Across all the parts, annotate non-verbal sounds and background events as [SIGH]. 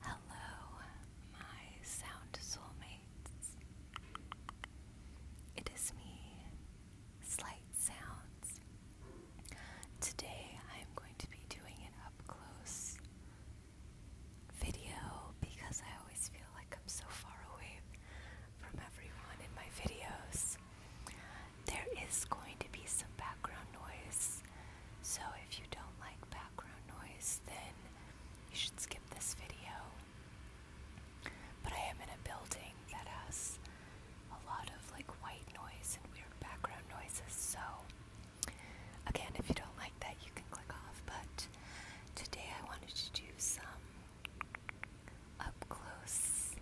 Hello, my sound soulmates. It is me, Slight Sounds. Today I am going to be doing an up close video because I always feel like I'm so far away from everyone in my videos there is going to be some background noise. So if you don't like background noise, then you should skip this video. But I am in a building that has a lot of like white noise and weird background noises. So again, if you don't like that, you can click off. But today I wanted to do some up close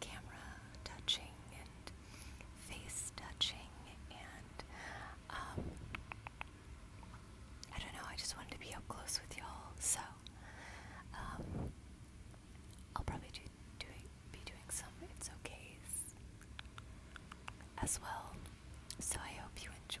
camera touching and face touching and um, I don't know, I just wanted to be up close with y'all, so um, I'll probably be doing some It's okay, as well, so I hope you enjoy.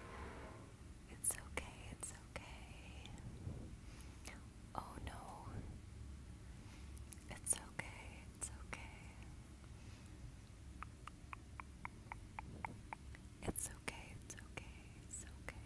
It's okay, it's okay. Oh no. It's okay, it's okay. It's okay, it's okay, it's okay.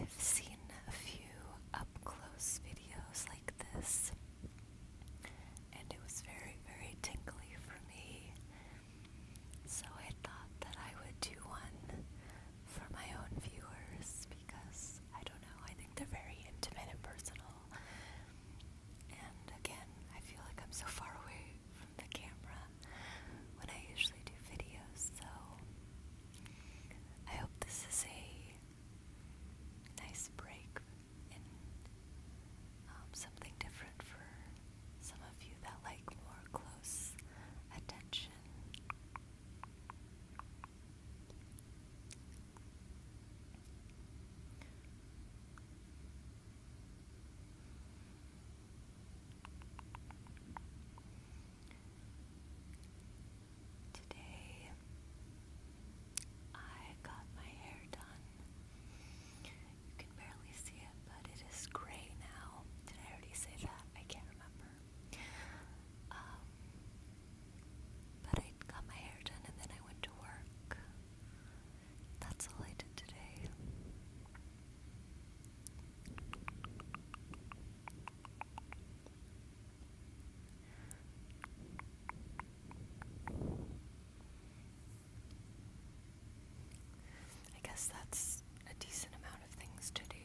I've seen a few up close videos like this, and it was very, very tingly for me. So I thought that I would do one for my own viewers because I don't know, I think they're very intimate and personal. And again, I feel like I'm so far away from the camera when I usually do videos, so I hope this is a nice break and um, something different for some of you that like more close attention. Today I got my hair done. You can barely see it, but it is gray now. Did I already say that? I can't remember. Um, but I got my hair done and then I went to work. That's all I did today. I guess that's a decent amount of things to do.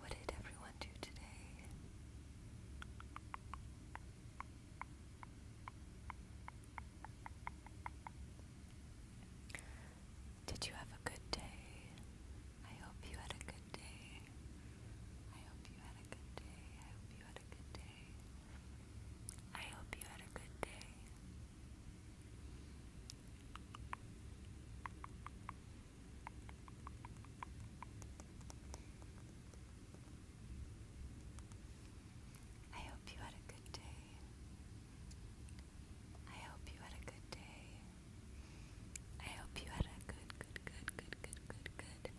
What did everyone do today? Did you have a good day? I hope you had a good day. I hope you had a good day. I hope you had a good day. I hope you had a good day. I hope you had a good day. I hope you had a good day. I hope you had a good, good, good, good, good, good, good,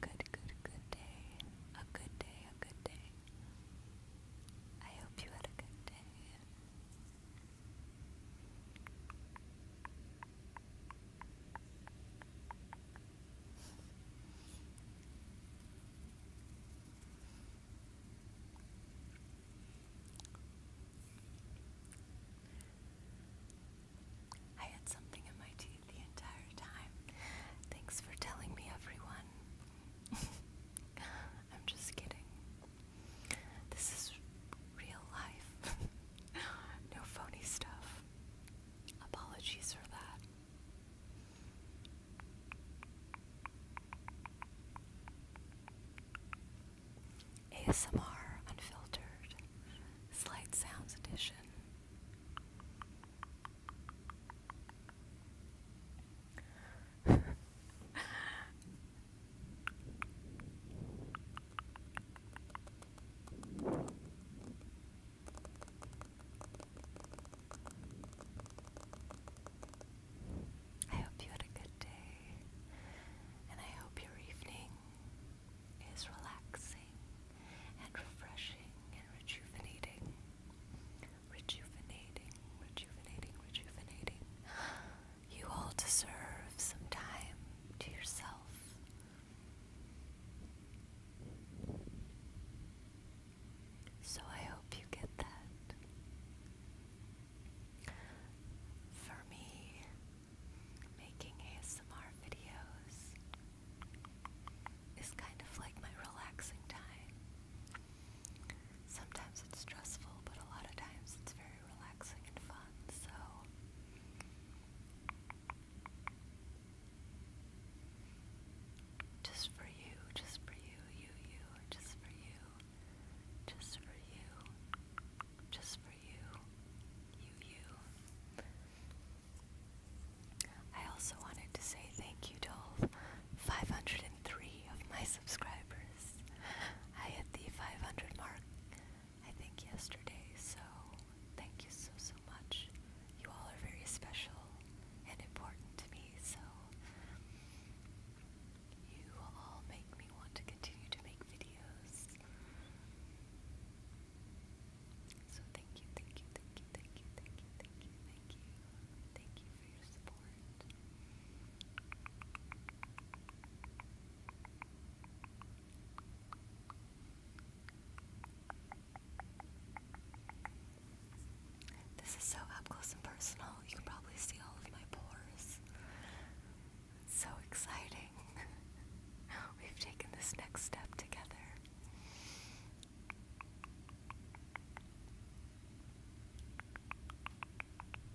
good, good, good day. A good day, a good day. I hope you had a good day. I had something in my teeth the entire time. Thanks for telling me, everyone. [LAUGHS] I'm just kidding. This is real life. [LAUGHS] no phony stuff. Apologies for that. ASMR Unfiltered Slight Sounds Edition. [LAUGHS] I hope you had a good day, and I hope your evening is relaxing and refreshing and rejuvenating. Rejuvenating, rejuvenating, rejuvenating. You all deserve some time to yourself. So I hope you get that. For me, making ASMR videos is kind of like my relaxing time. Sometimes it's stressful, but a lot of times it's very very relaxing and fun, so just for you, just for you, you, you, just for you, just for you, just for you, you, you. I also wanted to say thank you to all 503 of my subscribers. I hit the 500 mark, I think, yesterday, so thank you so, so much. You all are very special and important to me, so you all make me want to continue to make videos. So thank you, thank you, thank you, thank you, thank you, thank you, thank you, thank you for your support. This is so up close and personal. You can probably see all of my pores. so exciting. [LAUGHS] We've taken this next step together.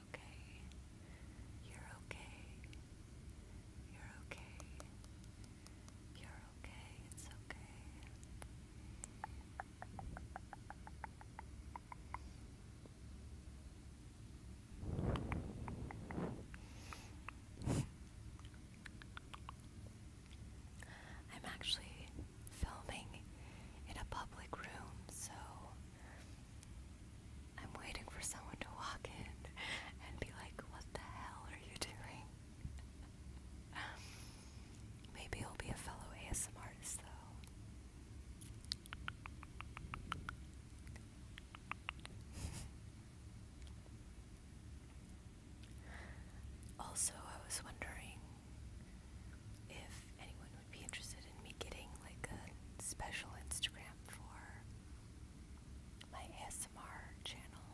it's okay. You're okay. You're okay. You're okay. It's okay. I'm actually filming in a public room, so I'm waiting for someone to walk in and be like, what the hell are you doing? [LAUGHS] Maybe he'll be a fellow ASM artist, though. [LAUGHS] Also, I was wondering if anyone would be interested in me getting like a special Instagram for my ASMR channel.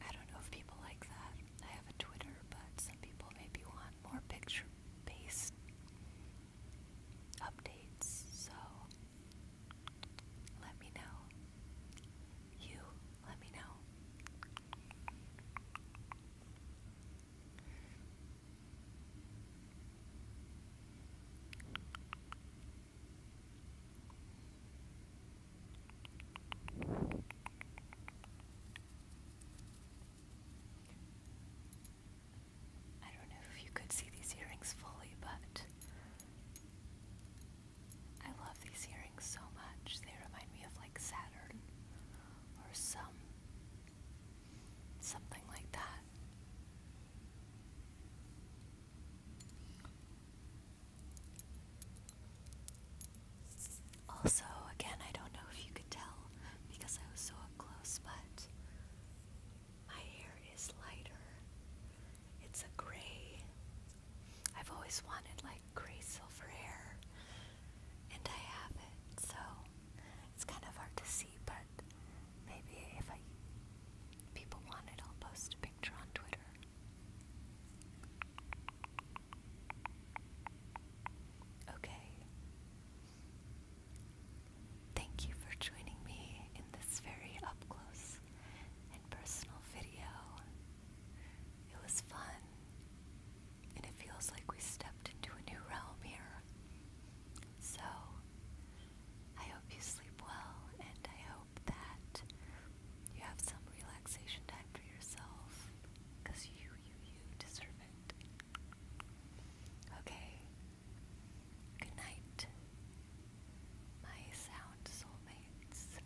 I don't know if people like that. I have a Twitter, but some people maybe want more picture based updates, so let me know. You let me know. I don't know if you could see these earrings fully, but I love these earrings so much. They remind me of like Saturn or some Something like that. Also, again, I don't know if you could tell because I was so close, but my hair is lighter. It's a gray. I've always wanted like gray silver hair, and I have it, so it's kind of hard to see, but maybe if I people want it, I'll post a picture on Twitter. Okay. Thank you for joining me in this very up close and personal video. It was fun and it feels like we stepped into a new realm here. So, I hope you sleep well, and I hope that you have some relaxation time for yourself, because you, you, you deserve it. Okay, good night, my sound soulmates.